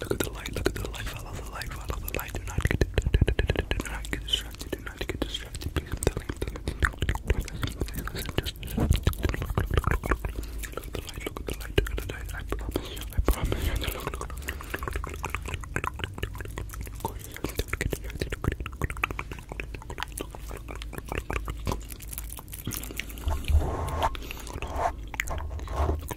Look at the light, look at the light, follow the light, follow the light. Do not get, do not get distracted, do not get distracted. Please, I'm telling you, look at the light, look at the light, look at the light. I promise you, I promise you. Look, look, look. Look,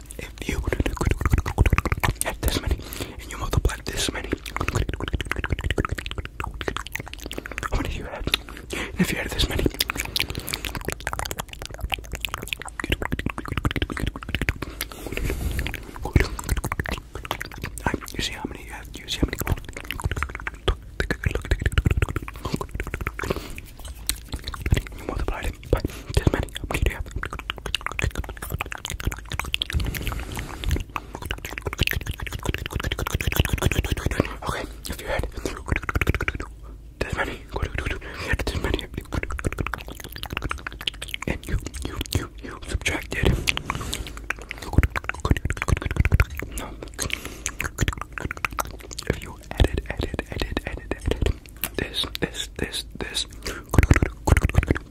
if you have this many and you multiply this many, how many do you have? And if you had this many, Right, you see how many you have? You see how many? We multiplied it by this many. How many you Okay, if you had this many, you this many, and you, you, you, you subtracted. If you added, added, added, added, added, this, this, this, this,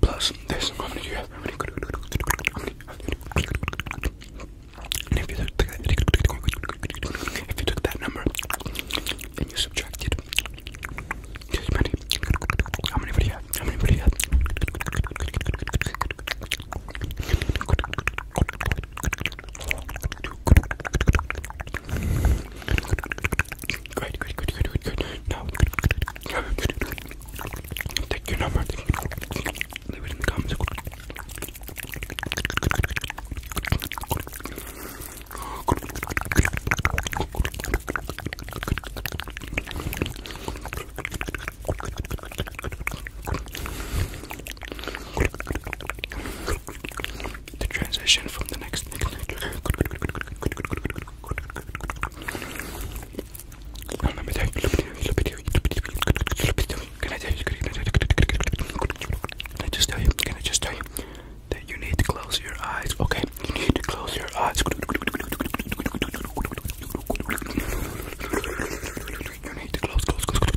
plus this. How many do you have? How many? How many? And if you took that, if you took that number and you subtracted this many, how many would you have? How many would you have? Great, great, good, good, good, good. Now, take your number. Leave it in the comments the transition from the next let me tell you, let me tell you, can I tell you, can I just tell you, can I just tell you that you need to close your eyes, okay? You need to close your eyes. You need to close, close, close, close,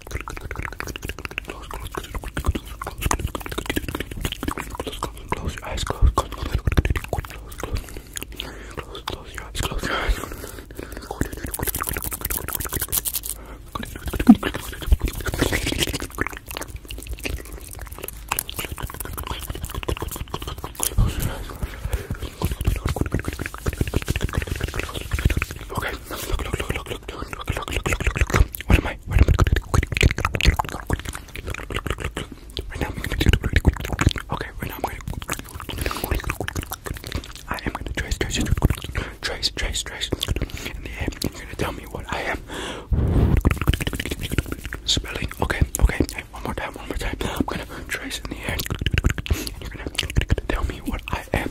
Close your eyes, close, close, close, close, close, close, close your eyes, close your eyes. Okay, look, look, look, look, look, What am I? What am I? Right now I'm gonna do Okay, right now I'm gonna I am gonna trace, trace, trace, trace, trace in the air. You're gonna tell me what I am spelling. Okay, okay. Hey, one more time, one more time. I'm gonna trace in the air. And you're gonna tell me what I am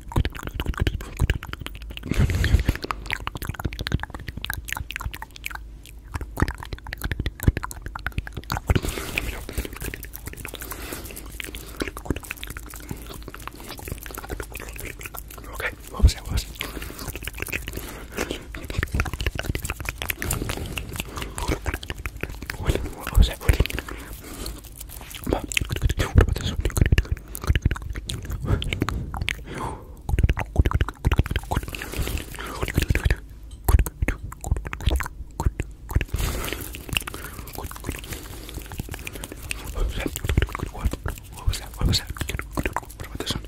Okay, what was that? What was it? What, what was that? What? What about this? What was that? What was that? What was that? What about this one?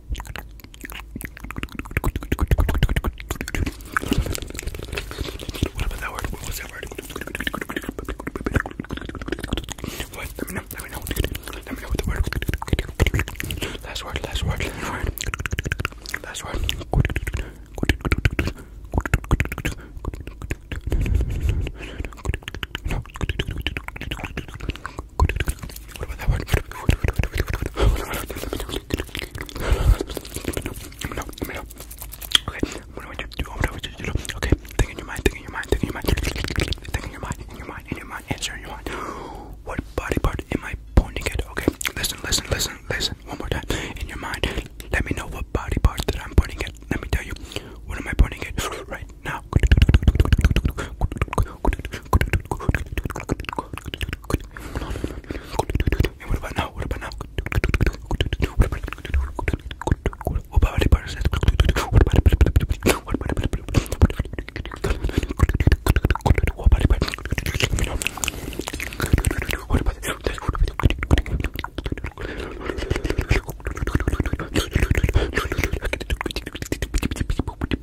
What was that word? What was that word? What? Let me know. Let me know. Let me know what the word. Last word. Last word. Last word. Last word. No. What Let me know, let me know. Okay, think in your mind, think in your mind, think in your mind. Think in your mind, in your mind, in your mind, answer in your mind. What body part am I pointing at? Okay, listen, listen, listen, listen. One more time. In your mind, let me know what body part that I'm pointing at. Let me tell you, what am I pointing at? Right right now. And what about now? What about now? What about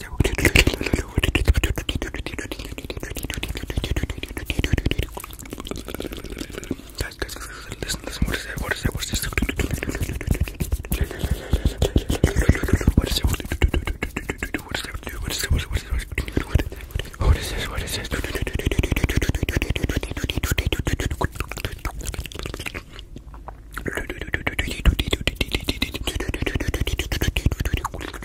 Guys, guys, listen, listen, what is that? What is that? What is this? What is it? What is that? What is that? What is that? What is this? What is this?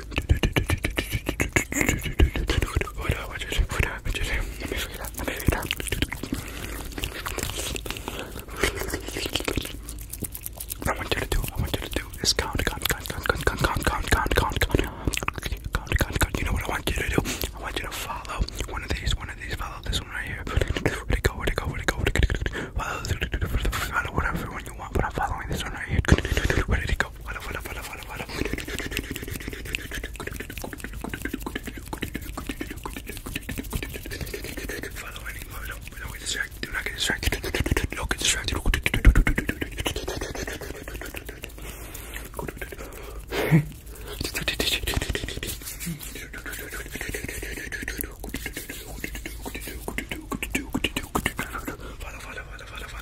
I want you to do, I want you to do is count, count, count, count, count, count, count, count, count, count, count, count. You know what I want you to do? I want you to follow one of these, one of these, follow this one right here. Where'd it go, where'd it go, where'd it go, where'd it go? Follow whatever one you want, but I'm following this one right here. Where did it go? Follow any don't get distracted, do not get distracted, don't get distracted. Follow, follow, follow, follow, follow,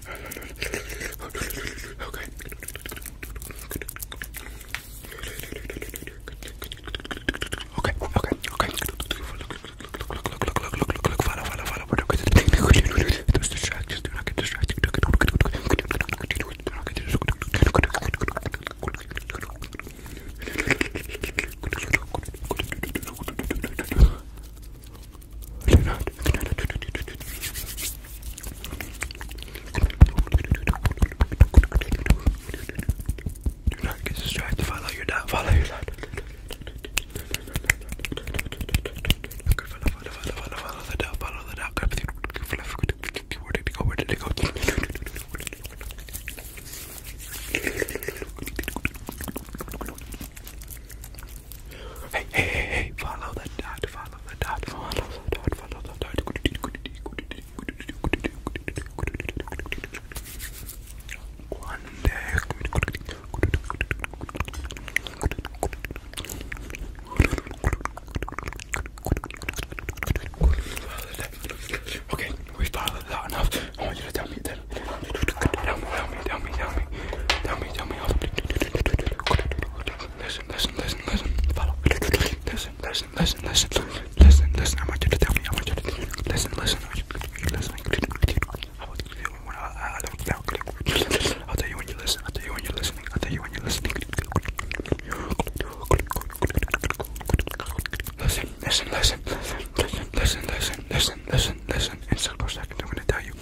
Okay. Okay, okay, okay. Look, look, look, look, look, look, look, look, follow, follow, follow. Those distractions do not get distracted. Do not get distracted. Do not get distracted. Do not get distracted. Good night. Good night. Do not get distracted. Follow your dad. Follow your dad. Good follow, follow, follow, follow, follow the dog. Follow the dog. Where did it go? Where did it go? Hey, hey, hey, hey, follow the dot, follow the dot, follow the dot, follow the dot. One day. Okay, we followed that enough. I want you to tell me then. Tell me, tell me, tell me, tell me, me, tell me, tell me how to do, do, do, do, do, do. Listen, listen, listen, listen, follow. Listen, listen, listen, listen, listen, listen. I want you to tell me. I want you to listen, listen. I want you to listen. I want you to when I I don't now. I'll tell you when you listen. I'll tell you when you're listening. I'll tell you when you're listening. Listen, listen, listen, listen, listen, listen, listen, listen, listen. In several seconds, I'm gonna tell you.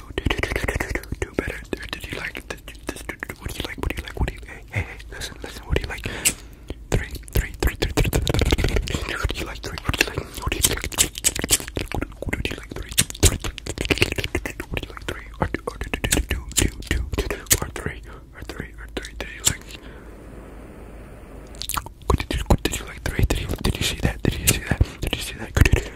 do, do, do, do, do, do, do, do better. Did you like this? What do you like? What do you like? What do you hey hey hey? Listen, listen. What do you like? Three, three, three, three, three. three. What do you like? Three. What do you like? What do you like? What do you like? Three. Three. What do you like? Three. Or do, or do, do, do, do, do, do, do, or three, or three, or three. Did you like? What did you? What did you like? Three. Did you? Did you see that? Did you see that? Did you see that? Good.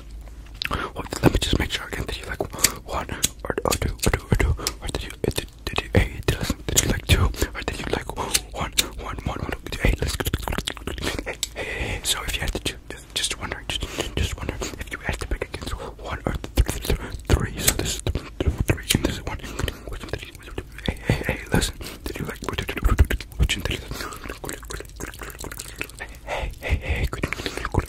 what, let me just make sure again. Did you like one or, or two or two or two? Or did you did, did you hey, did, listen, did you like two or did you like one one one one? Hey, let's hey, hey, hey. So if you had to choose, just wondering, just just wondering if you had to pick against one or three, three, three. So this is three and this is one. Which one did you? Hey, hey, hey, listen. Did you like which one did you like? Hey, hey, hey, good, good, good,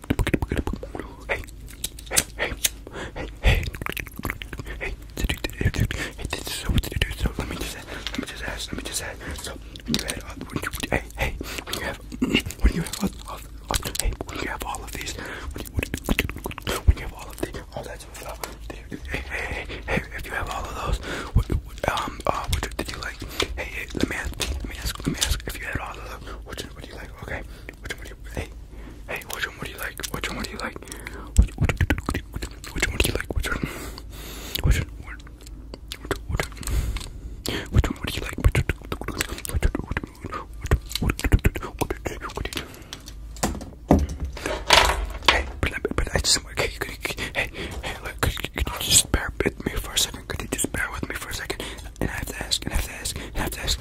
Hey, hey, hey, hey, hey, hey, this is so what to do. So let me just, let me just ask, let me just ask. So when you had, when you, hey, hey, when you have, when you have, all, all, all, hey, when you have all of these, when you, when you have all of these, all that sort of stuff. Hey, hey, hey, hey, if you have all of those, what, what um, uh, what did you like? Hey, hey, let me ask, let me ask, let me ask. If you had all of those, what, what do you like? Okay, which one do you hey hey which one would you like? Which one would you like? Which, which, which one do you like? Which one? Which one? Which one? Which one? Which one would you like? Which one? Which one? Hey, but, but I just okay, could you, hey, hey, look, could, could you just bear with me for a second? Could you just bear with me for a second? And I have to ask, and I have to ask, and I have to ask.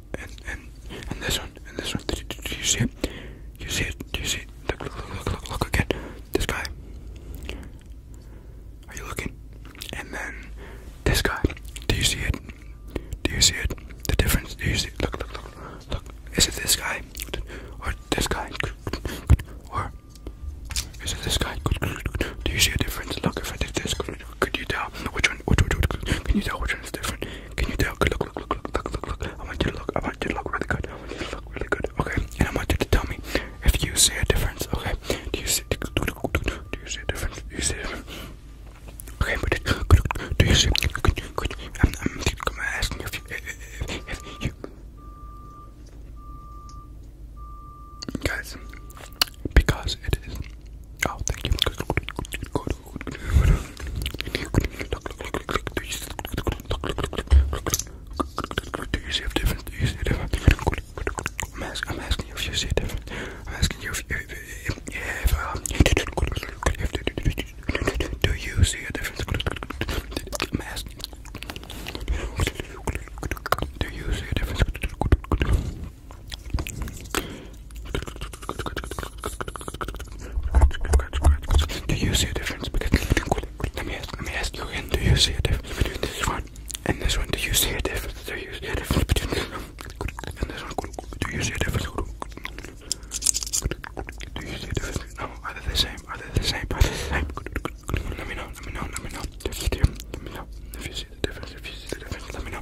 and and and this one and this one. Do, do, do you see it? You see it? Do you see it? Look, look, look, look, look again. This guy. Are you looking? And then this guy. Do you see it? Do you see it? The difference? Do you see? It? Look, look, look, look. Is it this guy or this guy? Or is it this guy? Do you see a difference? Look if I did this one could you tell? Which one? Which, which, which, which can you tell which one is different? Can you tell? Good, look, look, look, look, look, look, look. I want you to look. I want you to look really good. I want you to look really good. Okay, and I want you to tell me if you see a difference. Okay, do you see? Do, do, do, do, do you see a difference? Do you see? A difference? Okay, but it, do you see? Could, could, I'm, I'm, I'm asking if you, if, if, if you guys, because it is. Oh, thank you. Good, good, good, good. Do you see a difference? Do you see a difference? I'm asking, I'm asking you if you see a difference. I'm asking you if, if, if, if um, do you see a difference? I'm asking. Do you see a difference? Do you see a difference between let me ask let me ask you again, do you see a difference between this one and this one? Do you see a difference? Do you see a difference between this one and this one? Do you see a difference? Do you see a difference? No, are they the same? Are they the same? Are they the same? Let me know, let me know, let me know. Let me know. If you see the difference, if you see the difference, let me know.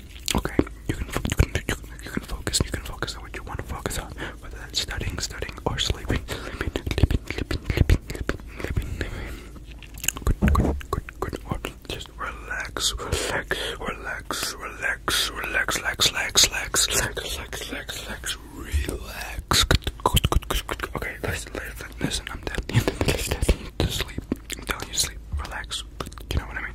Okay, you can you you can, focus. You can focus on what you want to focus on, whether that's studying, studying, or sleeping, sleeping, sleeping, sleeping, sleeping, sleeping, sleeping. Good, good, good, good. Or just relax, relax, relax, relax, relax, relax, relax, relax, relax, relax, relax, relax. Good, good, good, good. Okay, listen, listen, listen. I'm telling you to sleep. I'm telling you to sleep. Relax. You know what I mean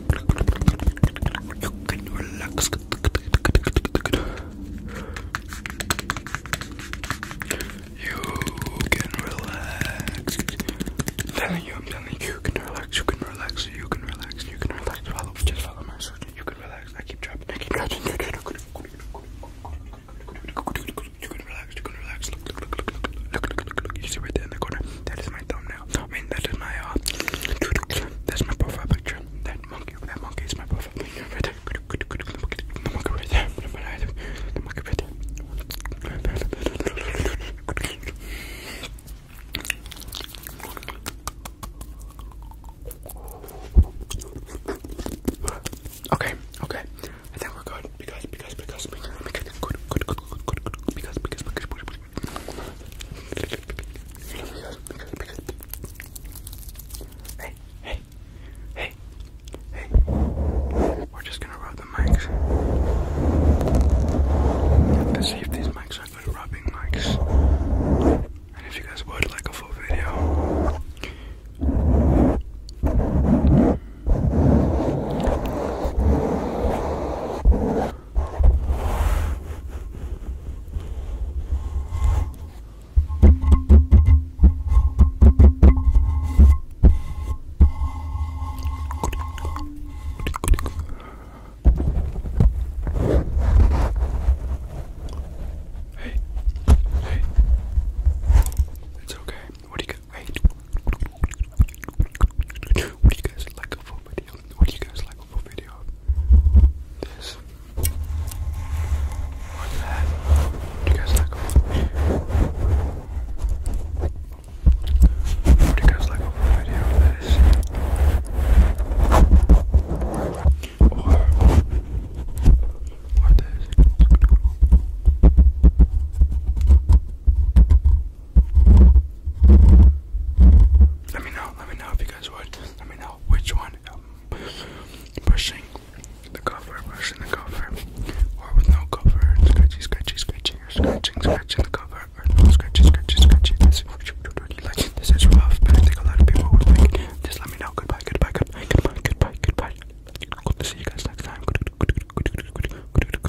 You can relax. You can relax. Telling you, I'm telling you, you can relax. You can relax. You can relax. You can relax. Follow, just follow my instructions. You can relax. I keep dropping. I keep dropping. You can relax. You can relax. You see right there in the corner. That is my thumbnail. I mean, that is my, uh, that's my profile picture. That monkey, that monkey is my profile picture right there. monkey right there. monkey right there. Okay, okay. I think we're good because, because, because, because, good, good, good, Hey, hey, hey, hey. We're just gonna rub the mics. Let's see if these mics are good rubbing mics. And if you guys would like a full video. Hey, hey, it's okay. What do you got? What do you guys like a full video? Would you guys like a full video of this? Or that? Would you guys like a full Would you guys like a full video this? Or this? Let me know, let me know if you guys would. Let me know which one. Um, pushing the cover, pushing the cover, or with no cover, scratchy, scratchy, scratchy, or scratching, scratching the cover, or no scratchy, scratchy, scratchy. This, like, this is rough, but I think a lot of people would like it. Just let me know. Goodbye, goodbye, goodbye, goodbye, goodbye, goodbye. Good to see you guys next time. Good, good, good, good, good, good, good, good.